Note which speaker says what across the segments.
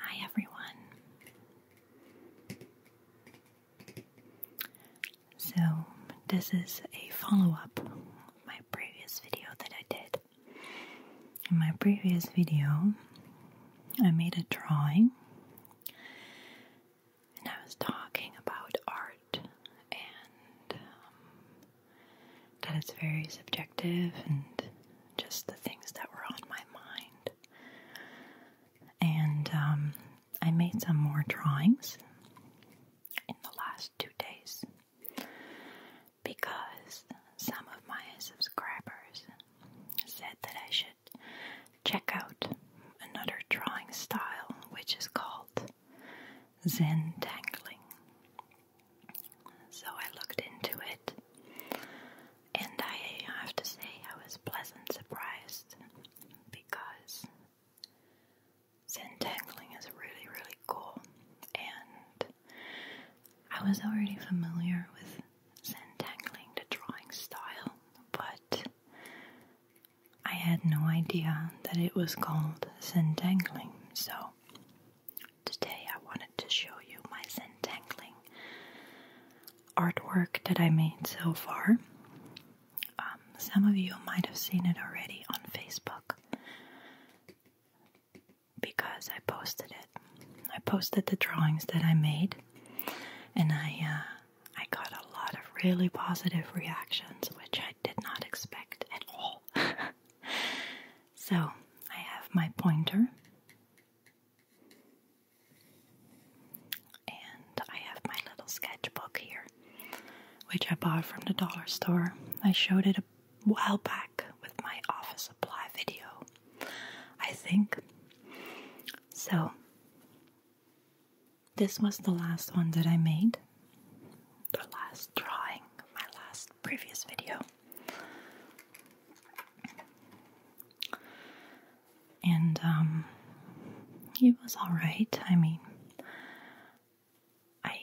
Speaker 1: Hi, everyone. So, this is a follow up of my previous video that I did. In my previous video, I made a drawing and I was talking about art and um, that it's very subjective and just the things that were on my mind. And um, I made some more drawings in the last two days because some of my subscribers said that I should check out another drawing style which is called Zen Tangling. So I looked into it, and I have to say I was pleasantly surprised because Zentangling is really, really cool, and I was already familiar with Zentangling, the drawing style, but I had no idea that it was called Zentangling, so Today I wanted to show you my Zentangling artwork that I made so far. Um, some of you might have seen it already on Facebook because I posted it. I posted the drawings that I made and I uh, I got a lot of really positive reactions which I did not expect at all. So I have my pointer and I have my little sketchbook here, which I bought from the dollar store. I showed it a while back with my office supply video, I think. So this was the last one that I made, the last drawing, my last previous video. And um, it was alright. I mean I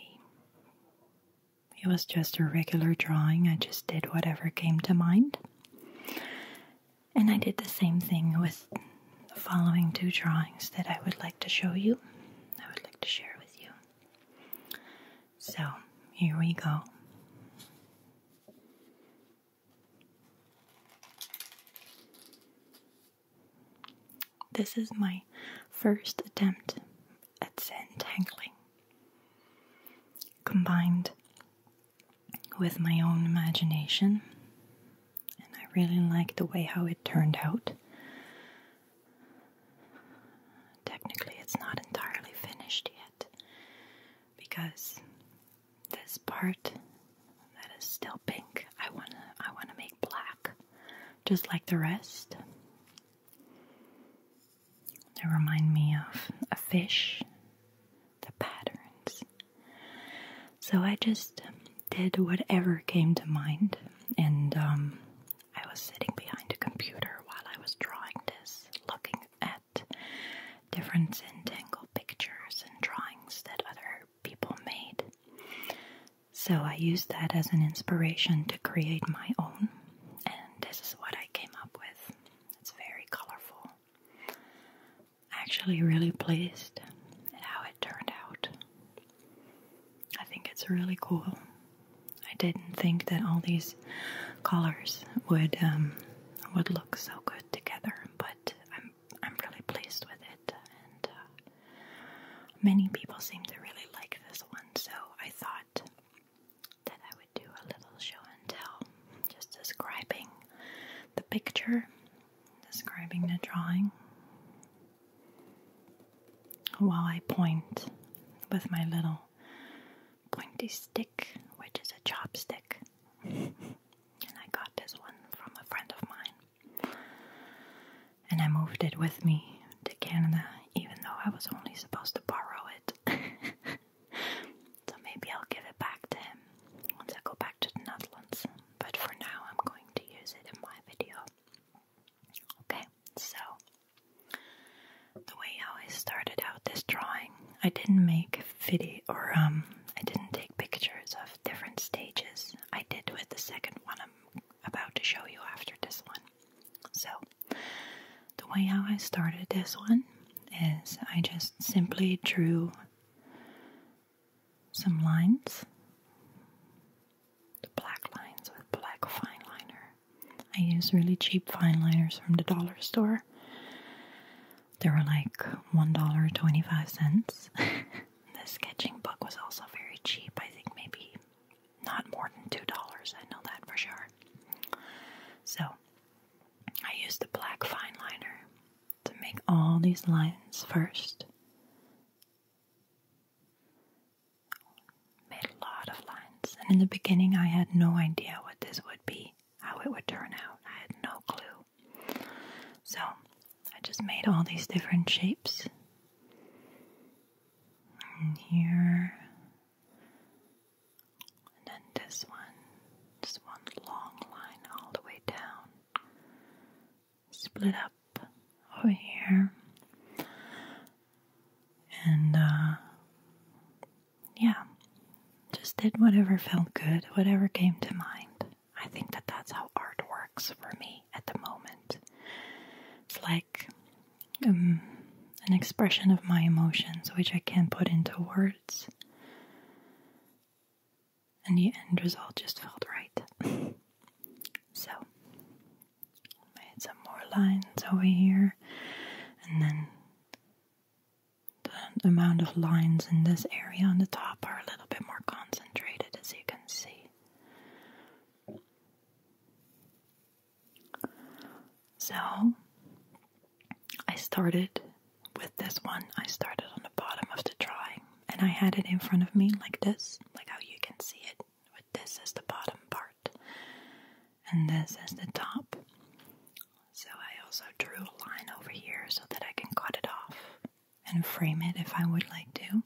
Speaker 1: it was just a regular drawing. I just did whatever came to mind. And I did the same thing with the following two drawings that I would like to show you. I would like to share with you. So here we go. This is my first attempt at untangling, combined with my own imagination, and I really like the way how it turned out. Technically, it's not entirely finished yet because this part that is still pink, I wanna I wanna make black, just like the rest. They remind me of a fish, the patterns. So I just um, did whatever came to mind, and um, I was sitting behind a computer while I was drawing this, looking at different entangled pictures and drawings that other people made. So I used that as an inspiration to create my own, and this is what I came up with. It's very colorful. Actually, really pleased at how it turned out. I think it's really cool. I didn't think that all these colors would um, would look so good together, but I'm I'm really pleased with it, and uh, many people seem to really like this one. So I thought that I would do a little show and tell, just describing the picture, describing the drawing, while I point with my little pointy stick, which is a chopstick. and I got this one from a friend of mine. And I moved it with me to Canada, even though I was only supposed to borrow it. so maybe I'll give it back to him once I go back to the Netherlands. But for now, I'm going to use it in my video. Okay, so the way how I started out this drawing, I didn't make video or um, I didn't take pictures of different stages. I did with the second one I'm about to show you after this one. So, the way how I started this one is I just simply drew some lines the black lines with black fine liner. I use really cheap fine liners from the dollar store. They were like $1.25. the sketching book was also very cheap. I think maybe not more than $2. I know that for sure. So I used the black fine liner to make all these lines first. Made a lot of lines, and in the beginning, I had no idea what this would be, how it would turn out. I had no clue. So, I just made all these different shapes. And here, and then this one, just one long line all the way down, split up over here. And uh, yeah, just did whatever felt good, whatever came to mind. I think that that's how art works for me at the moment. It's like um, an expression of my emotions, which I can't put into words. And the end result just felt right. so, made some more lines over here and then the amount of lines in this area on the top are a little bit more concentrated as you can see. So I started with this one. I started on the bottom of the drawing and I had it in front of me like this, like how you can see it with this as the bottom part and this as the top. So I also drew a line over here so that I can cut it off and frame it if I would like to.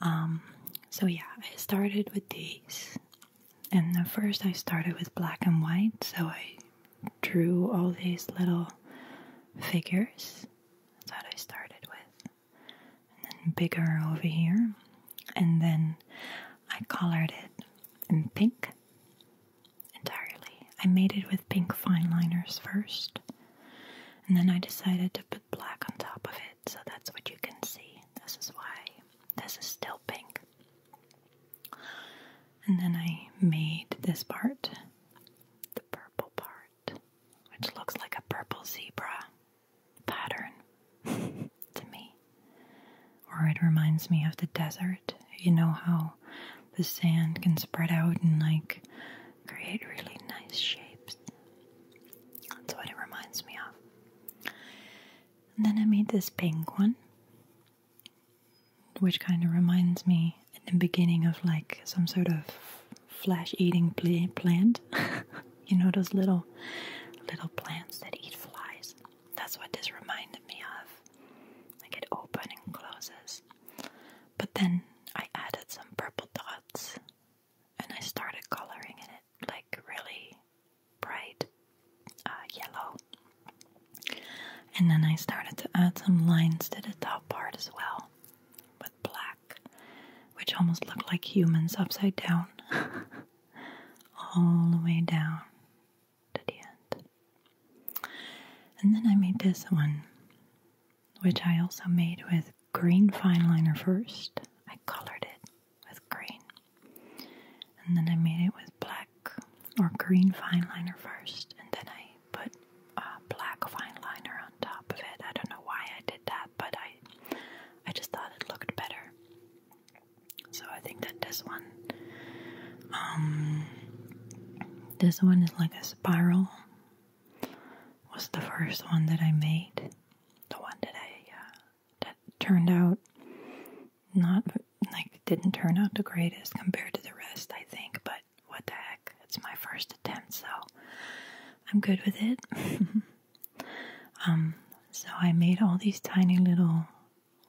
Speaker 1: Um, so yeah, I started with these. And at first I started with black and white, so I drew all these little figures. that I started with then bigger over here, and then I colored it in pink entirely. I made it with pink fine liners first, and then I decided to put black on top of it, so that's what you can see. This is why this is still pink. And then I made this part, the purple part, which looks like a purple zebra pattern to me. Or it reminds me of the desert. You know how the sand can spread out and like create really nice shapes. That's what it reminds me of. And then I made this pink one, which kind of reminds me in the beginning of like some sort of flesh eating plant. you know those little little plants that eat flies. That's what this reminded me of. Like it opens and closes. But then I added some purple dots and I started coloring it like really bright uh, yellow. And then I started to add some lines to the top part as well black, which almost looked like humans upside down, all the way down to the end. And then I made this one, which I also made with green fine liner first. I colored it with green, and then I made it with black or green fine liner first, and then I put a uh, black fine liner top of it. I don't know why I did that, but I I just thought it looked better. So I think that this one um this one is like a spiral. Was the first one that I made. The one that I uh, that turned out not like didn't turn out the greatest compared to the rest, I think, but what the heck? It's my first attempt, so I'm good with it. Um, so I made all these tiny little,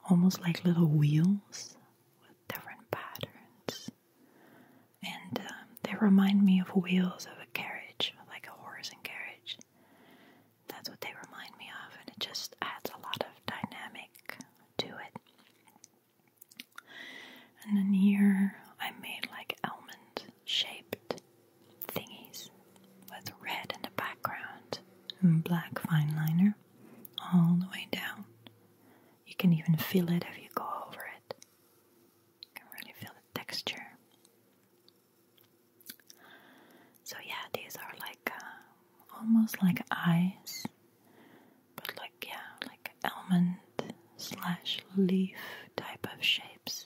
Speaker 1: almost like little wheels with different patterns, and um, they remind me of wheels of a carriage, like a horse and carriage. That's what they remind me of, and it just adds a lot of dynamic to it. And then here I made like almond shaped thingies with red in the background and black fine liner all the way down. You can even feel it if you go over it. You can really feel the texture. So yeah, these are like uh, almost like eyes, but like yeah, like almond slash leaf type of shapes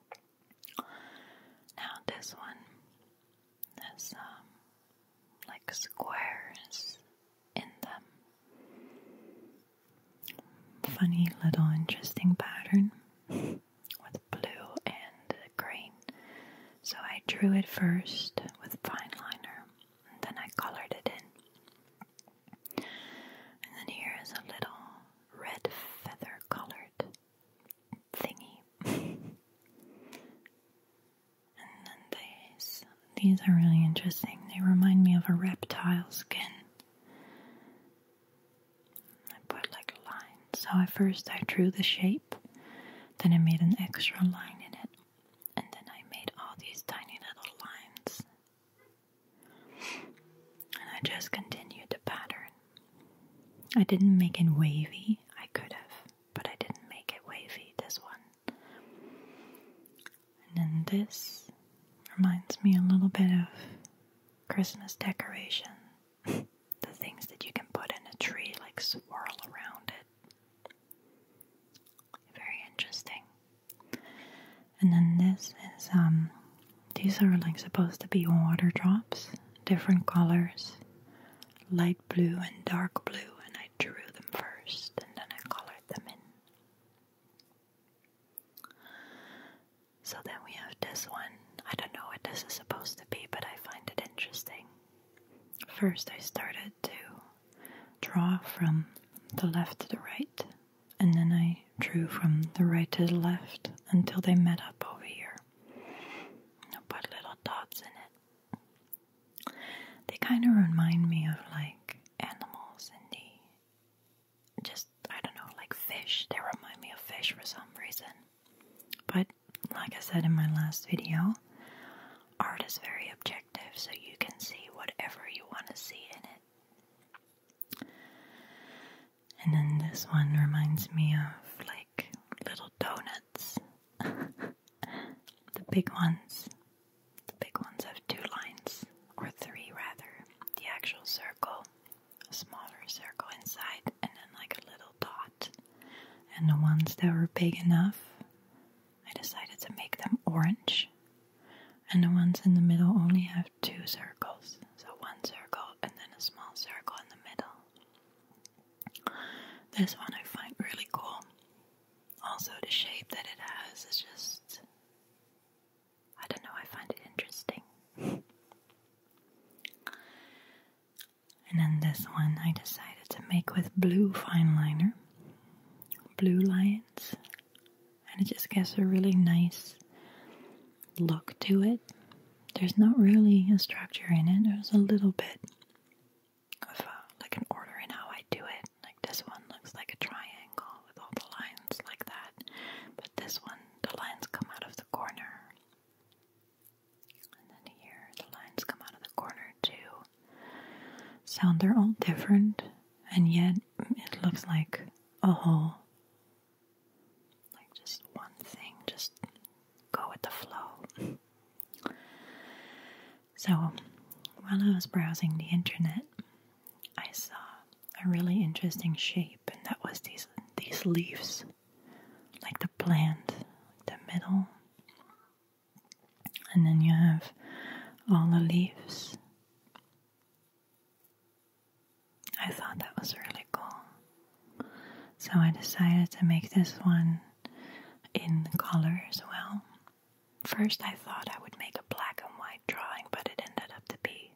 Speaker 1: Now this one has um, like squares in them. Funny little interesting pattern with blue and green. So I drew it first with fine liner and then I colored it in. And then here is a little red feather colored thingy. and then these these are really interesting. They remind me of a reptile skin. I put like a line. So at first I drew the shape, then I made an extra line in it, and then I made all these tiny little lines and I just continued the pattern. I didn't make it wavy, I could have, but I didn't make it wavy, this one. And then this reminds me a little bit of Christmas decoration. the things that you can put in a tree, like swirl around it. Very interesting. And then this is um these are like supposed to be water drops, different colors, light blue and dark blue, and I drew them first and then I colored them in. So then we have this one. I don't know what this is supposed to be, but I find it interesting. First, I started to draw from the left to the right and then I drew from the right to the left until they met up over here. I put little dots in it. They kind of remind me of like animals in just I don't know, like fish. They remind me of fish for some reason. But like I said in my last video, art is very objective, so you can see whatever you want to see in it. And then this one reminds me of like little donuts. the big ones. The big ones have two lines, or three rather. The actual circle, a smaller circle inside, and then like a little dot. And the ones that were big enough, I decided to make them orange and the ones in the middle only have two circles. So one circle and then a small circle in the middle. This one I find really cool. Also, the shape that it has is just. I don't know, I find it interesting. and then this one I decided to make with blue fine liner. Blue lines and it just gives a really nice look to it. There's not really a structure in it, there's a little bit of uh, like an order in how I do it. Like this one looks like a triangle with all the lines like that, but this one, the lines come out of the corner. And then here, the lines come out of the corner too. So they're all different, and yet it looks like a whole like just one thing, just go with the flow. So, while I was browsing the internet, I saw a really interesting shape, and that was these these leaves, like the plant, the middle, and then you have all the leaves. I thought that was really cool. So I decided to make this one in color as well. First, I thought I would make a black and white drawing, but it ended up to be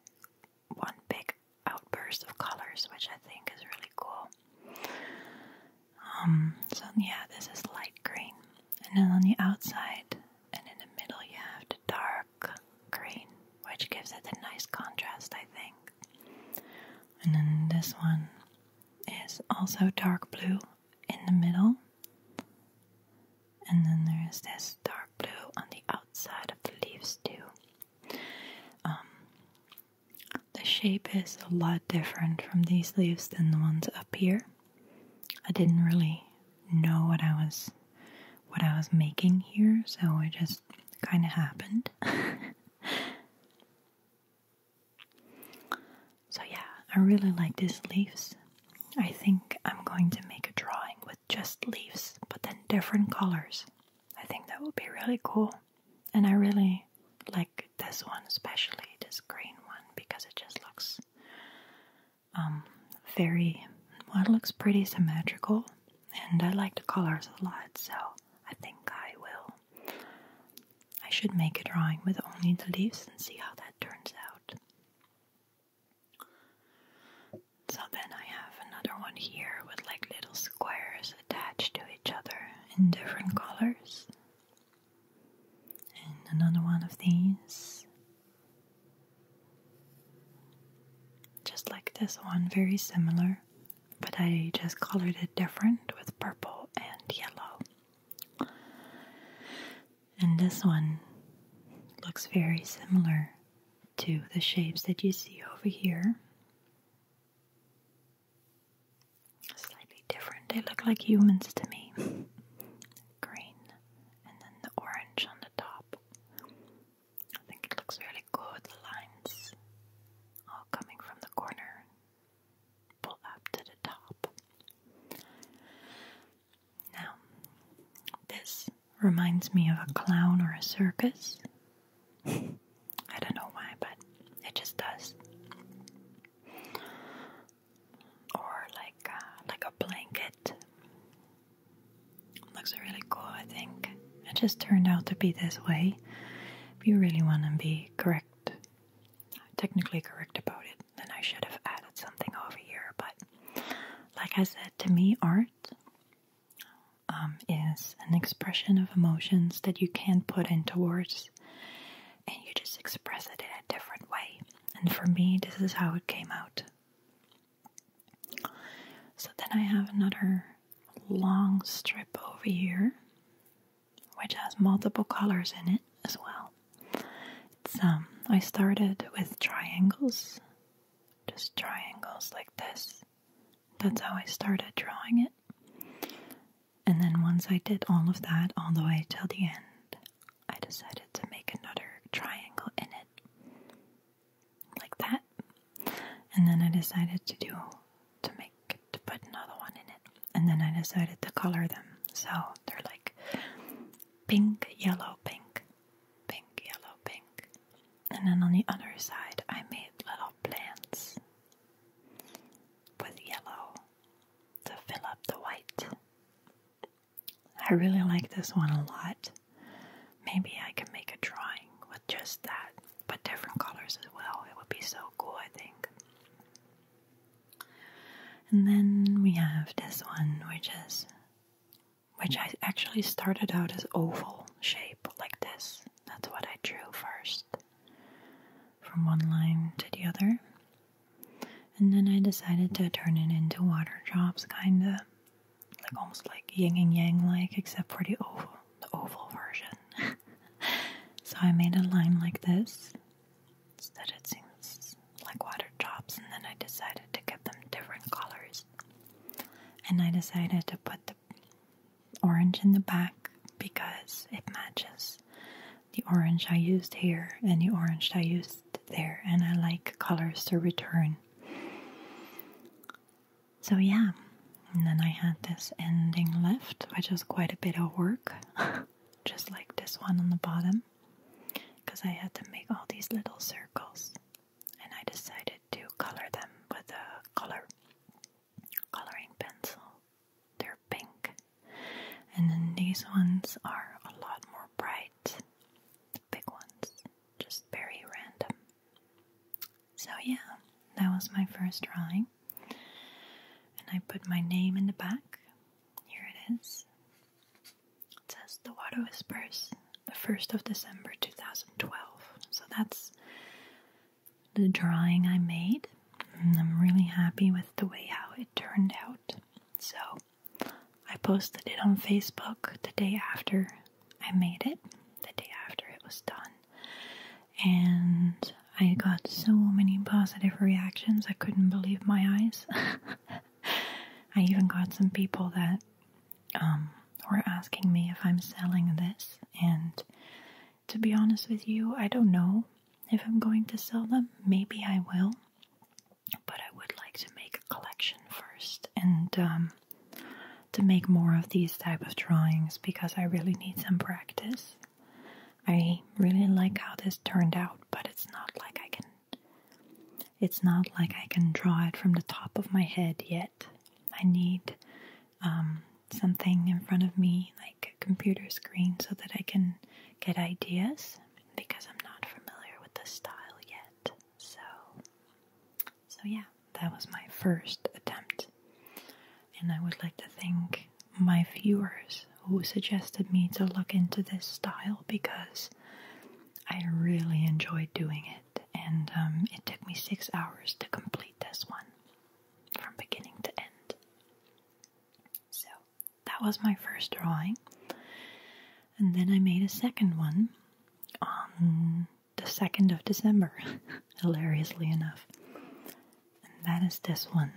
Speaker 1: one big outburst of colors, which I think is really cool. Um, so, yeah, this is light green. And then on the outside and in the middle, you have the dark green, which gives it a nice contrast, I think. And then this one is also dark blue in the middle. And then there is this dark blue on the outside of the leaves, too. Um, the shape is a lot different from these leaves than the ones up here. I didn't really know what I was what I was making here, so it just kind of happened. so, yeah, I really like these leaves. I think I'm going to make a drawing with just leaves, but then different colors. I think that would be really cool. And I really like this one, especially this green one, because it just looks um, very One looks pretty symmetrical, and I like the colors a lot, so I think I will. I should make a drawing with only the leaves and see how that turns out. So then I have another one here with like little squares attached to each other in different colors. And another one of these just like this one, very similar, but I just colored it different with purple and yellow. And this one looks very similar to the shapes that you see over here. Slightly different, they look like humans to me. Green and then the orange on the top. I think it looks really good. The lines all coming from the corner, pull up to the top. Now, this reminds me of a clown or a circus. I don't know why, but it just does. Or like uh, like a blanket Looks really cool, I think. It just turned out to be this way. If you really want to be correct, technically correct about it, then I should have added something over here. But like I said, to me, art um, is an expression of emotions that you can't put into words and you just express it in a different way. And for me, this is how it came out. So then I have another long strip over here, which has multiple colors in it as well. It's um I started with triangles, just triangles like this. That's how I started drawing it. And then once I did all of that all the way till the end, I decided to make another triangle in it, like that. And then I decided to do to make to put another one in it. And then I decided to color them, so they're like pink, yellow, pink, pink, yellow, pink. And then on the other side, I made little plants with yellow to fill up the white. I really like this one a lot. Maybe I can make a drawing with just that, but different colors as well. It would be so cool, I think. And then we have this one, which is, which I actually started out as oval shape, like this. That's what I drew first, from one line to the other. And then I decided to turn it into water drops, kinda like almost like yin and yang like except for the oval the oval version so I made a line like this so that it seems like water drops and then I decided to give them different colors and I decided to put the orange in the back because it matches the orange I used here and the orange I used there, and I like colors to return. So, yeah, and then I had this ending left, which is quite a bit of work, just like this one on the bottom, because I had to make all these little circles, and I decided to color them with a color coloring pencil. They're pink, and then these ones are a lot more bright big ones, just very random. So, yeah, that was my first drawing, and I put my name in the back. Here it is. It says The Water Whispers, the 1st of December 2012. So, that's the drawing I made, and I'm really happy with the way how it turned out. So, I posted it on Facebook the day after I made it, the day after it was done. And I got so many positive reactions, I couldn't believe my eyes. I even got some people that um, were asking me if I'm selling this. And to be honest with you, I don't know if I'm going to sell them. Maybe I will but I would like to make a collection first and um, to make more of these type of drawings because I really need some practice. I really like how this turned out, but it's not like I can it's not like I can draw it from the top of my head yet. I need um, something in front of me, like a computer screen, so that I can get ideas because I'm not familiar with the style yet. So, so yeah, that was my first attempt, and I would like to thank my viewers who suggested me to look into this style because I really enjoyed doing it, and um, it took me six hours to complete this one from beginning to end. So, that was my first drawing. And then I made a second one on the 2nd of December, hilariously enough. And that is this one.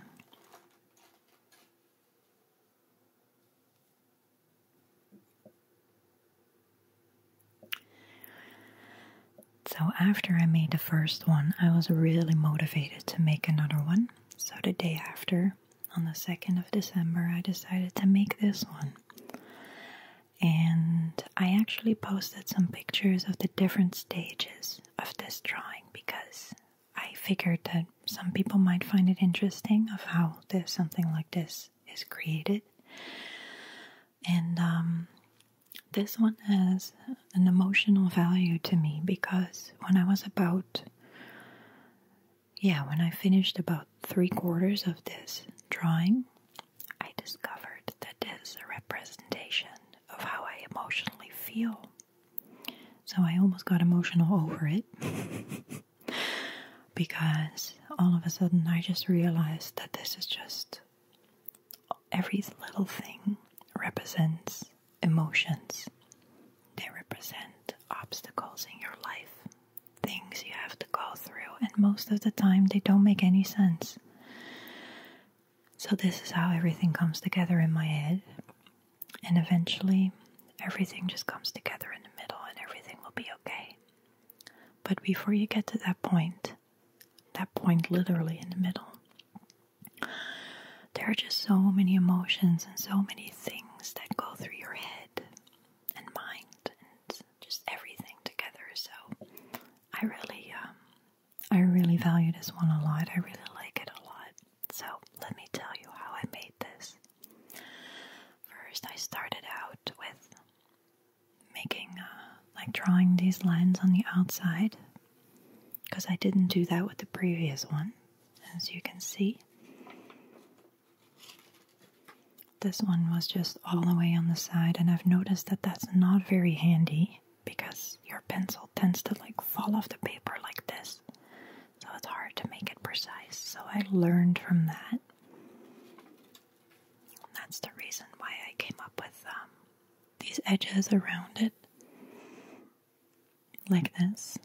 Speaker 1: So, after I made the first one, I was really motivated to make another one. So, the day after, on the 2nd of December, I decided to make this one. And I actually posted some pictures of the different stages of this drawing because I figured that some people might find it interesting of how this, something like this is created. And um, this one has an emotional value to me because when I was about yeah, when I finished about three quarters of this drawing, I discovered that this is a representation of how I emotionally feel. So I almost got emotional over it because all of a sudden I just realized that this is just every little thing represents emotions, they represent obstacles in your life things you have to go through, and most of the time they don't make any sense. So, this is how everything comes together in my head, and eventually everything just comes together in the middle, and everything will be okay. But before you get to that point, that point literally in the middle, there are just so many emotions and so many things that go through your head and mind and just everything together. So I really, um, I really value this one a lot. I really like it a lot. So let me tell you how I made this. First, I started out with making, uh, like drawing these lines on the outside because I didn't do that with the previous one, as you can see. This one was just all the way on the side, and I've noticed that that's not very handy because your pencil tends to like fall off the paper like this. So it's hard to make it precise. So I learned from that. That's the reason why I came up with um, these edges around it, like this.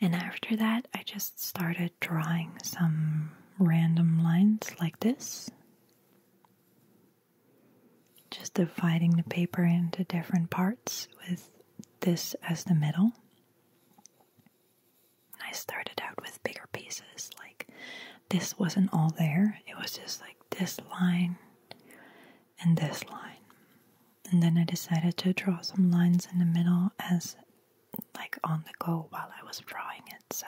Speaker 1: And after that, I just started drawing some random lines like this. Just dividing the paper into different parts with this as the middle. I started out with bigger pieces, like this wasn't all there, it was just like this line, and this line. And then I decided to draw some lines in the middle as like on the go while I was drawing it. So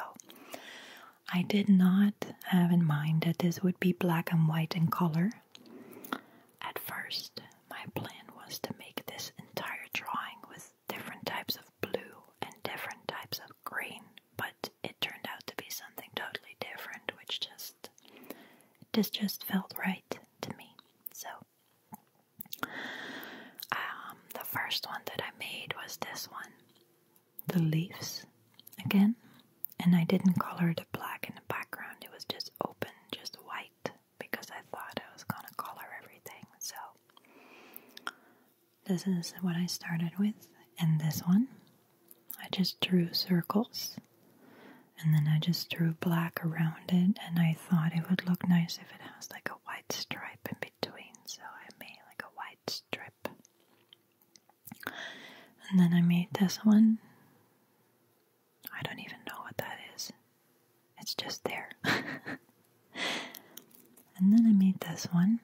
Speaker 1: I did not have in mind that this would be black and white in color. At first, my plan was to make this entire drawing with different types of blue and different types of green, but it turned out to be something totally different, which just this just felt right to me. So, um, the first one that I made was this one the leaves again. And I didn't color the black in the background, it was just open, just white, because I thought I was gonna color everything. So, this is what I started with, and this one I just drew circles and then I just drew black around it and I thought it would look nice if it has like a white stripe in between so I made like a white strip and then I made this one I don't even know what that is it's just there and then I made this one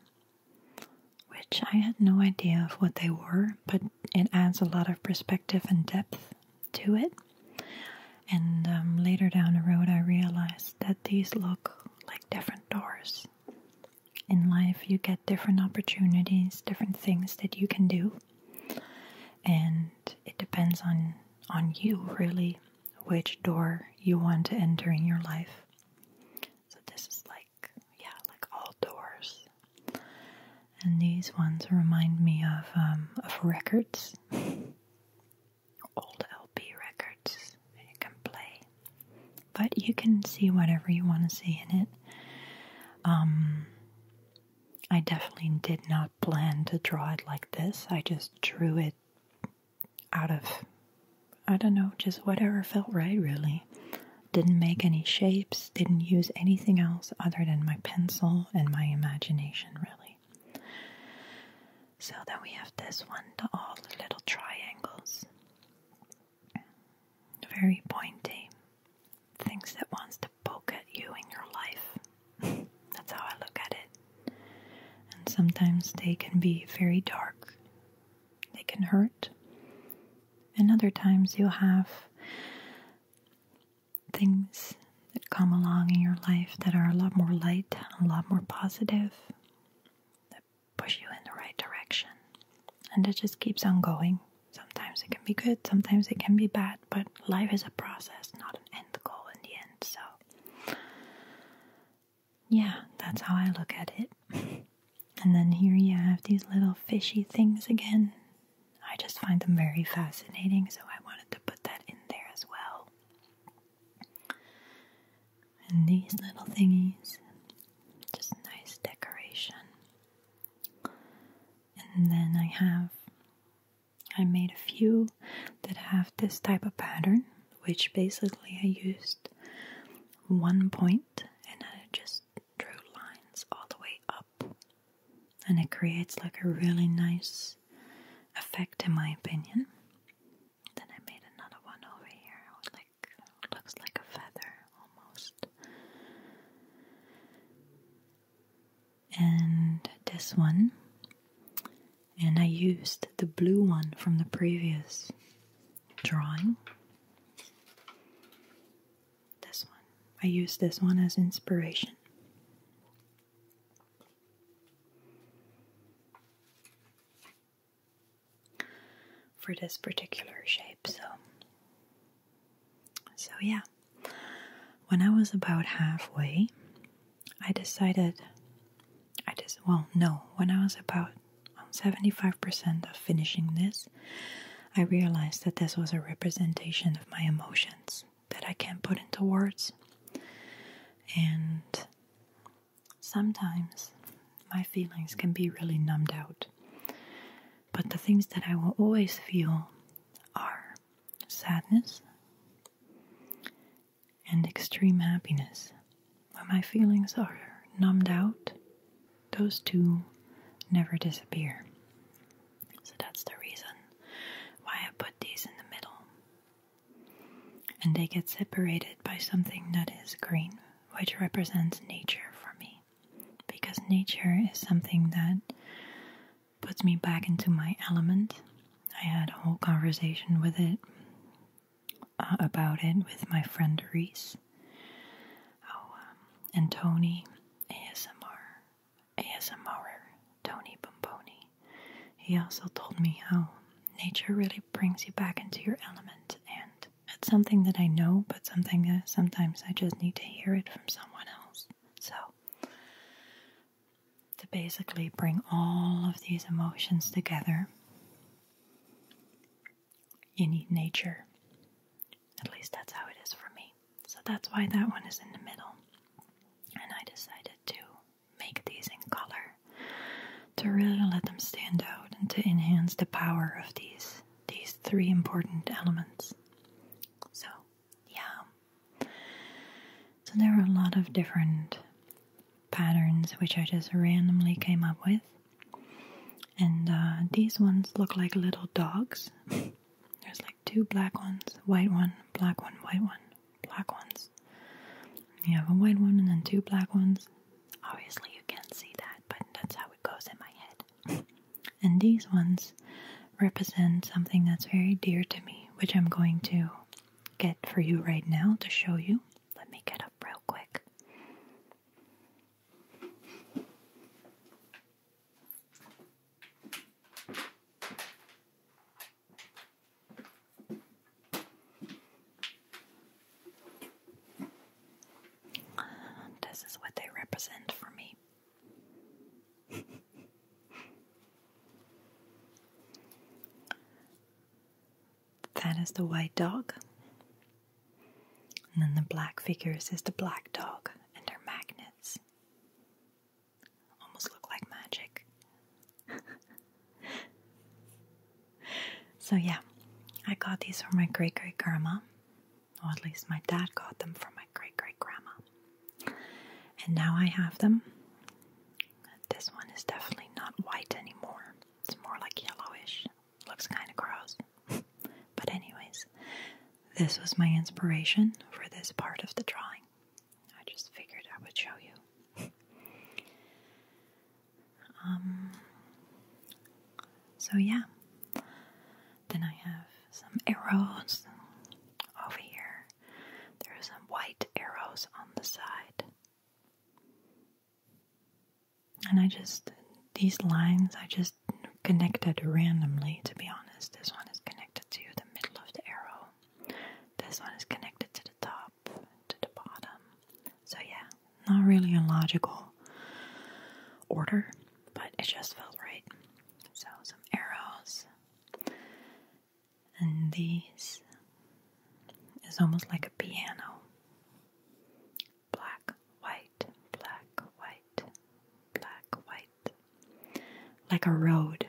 Speaker 1: which I had no idea of what they were, but it adds a lot of perspective and depth to it. And um, later down the road, I realized that these look like different doors. In life, you get different opportunities, different things that you can do, and it depends on on you really which door you want to enter in your life. So this is like yeah, like all doors. And these ones remind me of um, of records, old LP records you can play. But you can see whatever you want to see in it. Um, I definitely did not plan to draw it like this. I just drew it out of, I don't know, just whatever felt right, really. Didn't make any shapes, didn't use anything else other than my pencil and my imagination, really. So then we have this one, the, all little triangles. Very pointy. Things that wants to poke at you in your life. That's how I look at it. And sometimes they can be very dark, they can hurt. And other times you have things that come along in your life that are a lot more light, a lot more positive, that push you in the right direction. And it just keeps on going. Sometimes it can be good, sometimes it can be bad, but life is a process, not an end goal in the end. So, yeah, that's how I look at it. And then here you have these little fishy things again. I just find them very fascinating, so I wanted to put that in there as well. And these little thingies, just nice decoration. And then I have, I made a few that have this type of pattern, which basically I used one point and I just just lines all the way up. And it creates like a really nice effect, in my opinion. Then I made another one over here, like looks like a feather almost. And this one, and I used the blue one from the previous drawing. This one. I use this one as inspiration. For this particular shape, so so yeah. When I was about halfway, I decided I just well no, when I was about on 75% of finishing this, I realized that this was a representation of my emotions that I can't put into words. And sometimes my feelings can be really numbed out. But the things that I will always feel are sadness and extreme happiness. When my feelings are numbed out, those two never disappear. So that's the reason why I put these in the middle. And they get separated by something that is green, which represents nature for me. Because nature is something that puts me back into my element. I had a whole conversation with it uh, about it with my friend Reese Oh, um, and Tony ASMR, ASMRer Tony Bomboni, he also told me how nature really brings you back into your element, and it's something that I know, but something that sometimes I just need to hear it from someone else. So, to basically bring all of these emotions together you need nature. At least that's how it is for me. So that's why that one is in the middle. And I decided to make these in color to really let them stand out and to enhance the power of these these three important elements. So, yeah. So there are a lot of different patterns which I just randomly came up with and uh, these ones look like little dogs. There's like two black ones, white one, black one, white one, black ones. You have a white one and then two black ones. Obviously, you can't see that, but that's how it goes in my head. And these ones represent something that's very dear to me, which I'm going to get for you right now to show you. Let me get up real quick. This is what they represent for me. that is the white dog. And then the black figures is the black dog and her magnets. Almost look like magic. so, yeah, I got these from my great great grandma, or at least my dad got them from my great great grandma. And now I have them. This one is definitely not white anymore, it's more like yellowish. Looks kind of gross. but, anyways, this was my inspiration for this part of the drawing. I just figured I would show you. um, so, yeah. Then I have some arrows over here. There are some white arrows on the side. And I just, these lines, I just connected randomly, to be honest. This one is connected to the middle of the arrow, this one is connected to the top, to the bottom. So, yeah, not really a logical order, but it just felt right. So, some arrows, and these is almost like a piano black, white, black, white, black, white. Like a road.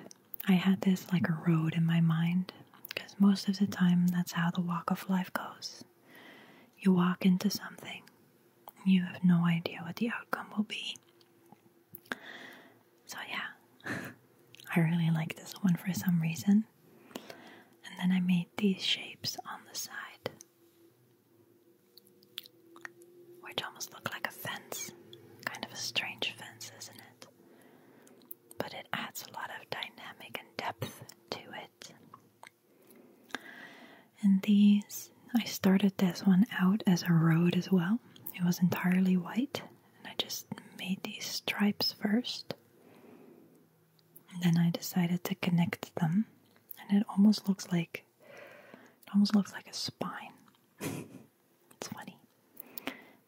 Speaker 1: I had this like a road in my mind because most of the time that's how the walk of life goes. You walk into something, you have no idea what the outcome will be. So, yeah, I really like this one for some reason. And then I made these shapes on the side. Which almost look like a fence. Kind of a strange fence, isn't it? But it adds a lot of dynamic and depth to it. And these, I started this one out as a road as well. It was entirely white, and I just made these stripes first. And then I decided to connect them and it almost looks like it almost looks like a spine. it's funny.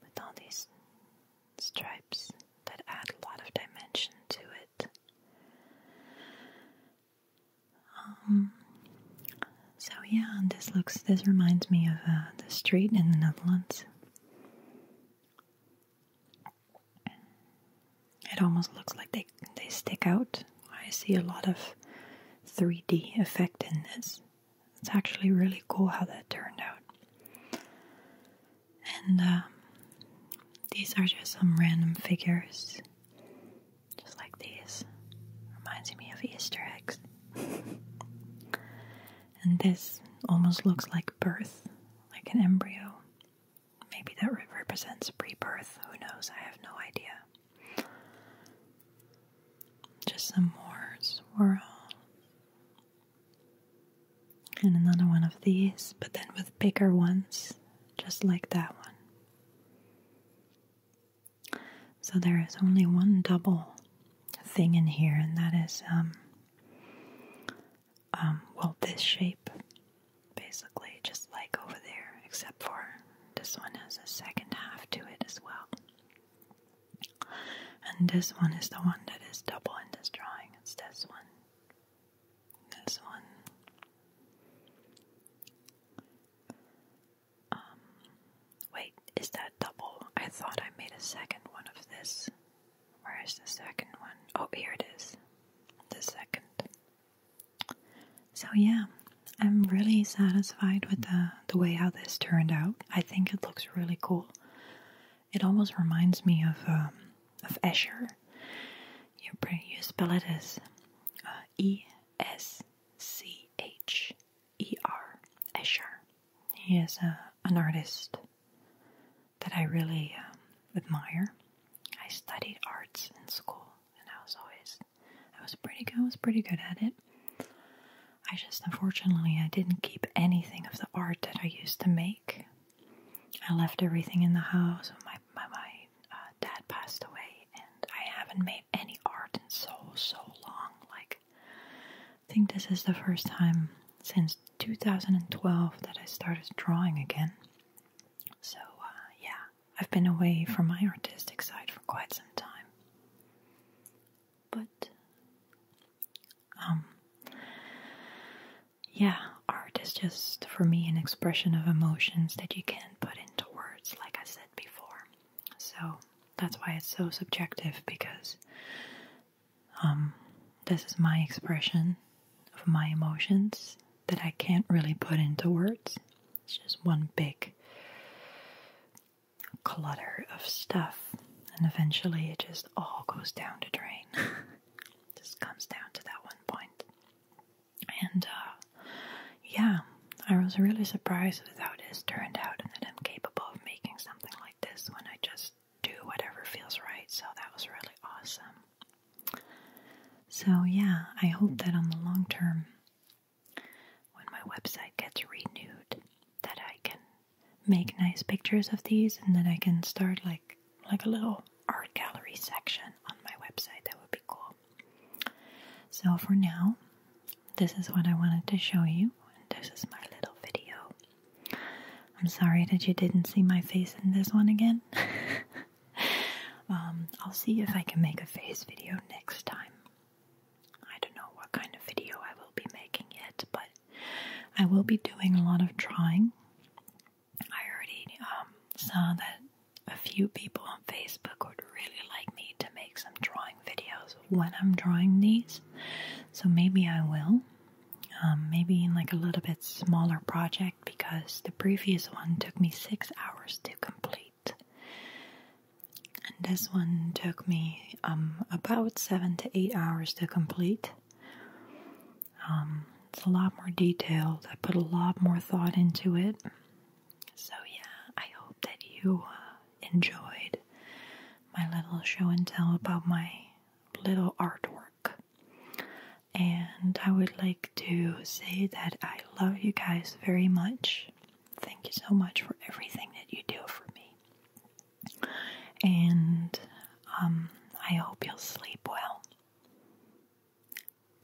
Speaker 1: With all these stripes that add a lot of dimension to it. Um, so yeah, this looks this reminds me of uh, the street in the Netherlands. It almost looks like they, they stick out. I see a lot of 3D effect in this. It's actually really cool how that turned out. And um, these are just some random figures, just like these. Reminds me of Easter eggs. and this almost looks like birth, like an embryo. Maybe that represents pre birth. Who knows? I have no idea. Just some more swirl. And another one of these, but then with bigger ones, just like that one. So there is only one double thing in here, and that is um, um, well, this shape, basically, just like over there, except for this one has a second half to it as well. And this one is the one that is double in this drawing. It's this one. This one. Um, wait, is that double? I thought I made a second one of this. Where is the second one? Oh, here it is. The second. So yeah, I'm really satisfied with the, the way how this turned out. I think it looks really cool. It almost reminds me of um, of Escher. You, you spell it as uh, E S C H E R Escher. He is a, uh, an artist that I really um, admire. I studied arts in school, and I was always I was pretty good. I was pretty good at it. I just unfortunately I didn't keep anything of the art that I used to make. I left everything in the house. when my, my uh, dad passed away, and I haven't made any art in so so long. Like I think this is the first time since 2012 that I started drawing again. So, uh, yeah, I've been away from my artistic side for quite some time. But, um, yeah, art is just for me an expression of emotions that you can't put into words, like I said before. So, that's why it's so subjective because um, this is my expression of my emotions that I can't really put into words. It's just one big clutter of stuff, and eventually it just all goes down to drain. just comes down to that one point. And uh, yeah, I was really surprised with how this turned out and that I'm capable of making something like this when I just do whatever feels right. So that was really awesome. So, yeah, I hope that on the long term, when my website gets renewed, that I can make nice pictures of these and that I can start like like a little art gallery section on my website. That would be cool. So for now, this is what I wanted to show you and this is my little video. I'm sorry that you didn't see my face in this one again. Um, I'll see if I can make a face video next time. I don't know what kind of video I will be making yet, but I will be doing a lot of drawing. I already um, saw that a few people on Facebook would really like me to make some drawing videos when I'm drawing these, so maybe I will. Um, maybe in like a little bit smaller project because the previous one took me six hours to complete, and this one took me um, about seven to eight hours to complete. Um, it's a lot more detailed. I put a lot more thought into it. So, yeah, I hope that you uh, enjoyed my little show and tell about my little artwork. And I would like to say that I love you guys very much. Thank you so much for everything that you do for me. And um, I hope you'll sleep well.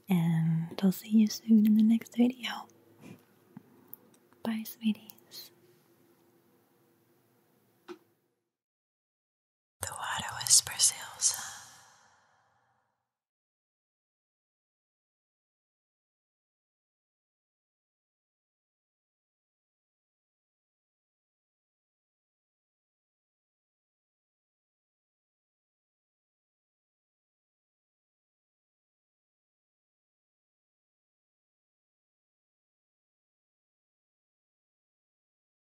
Speaker 1: And I'll see you soon in the next video. Bye, sweeties. The water whispers Elsa.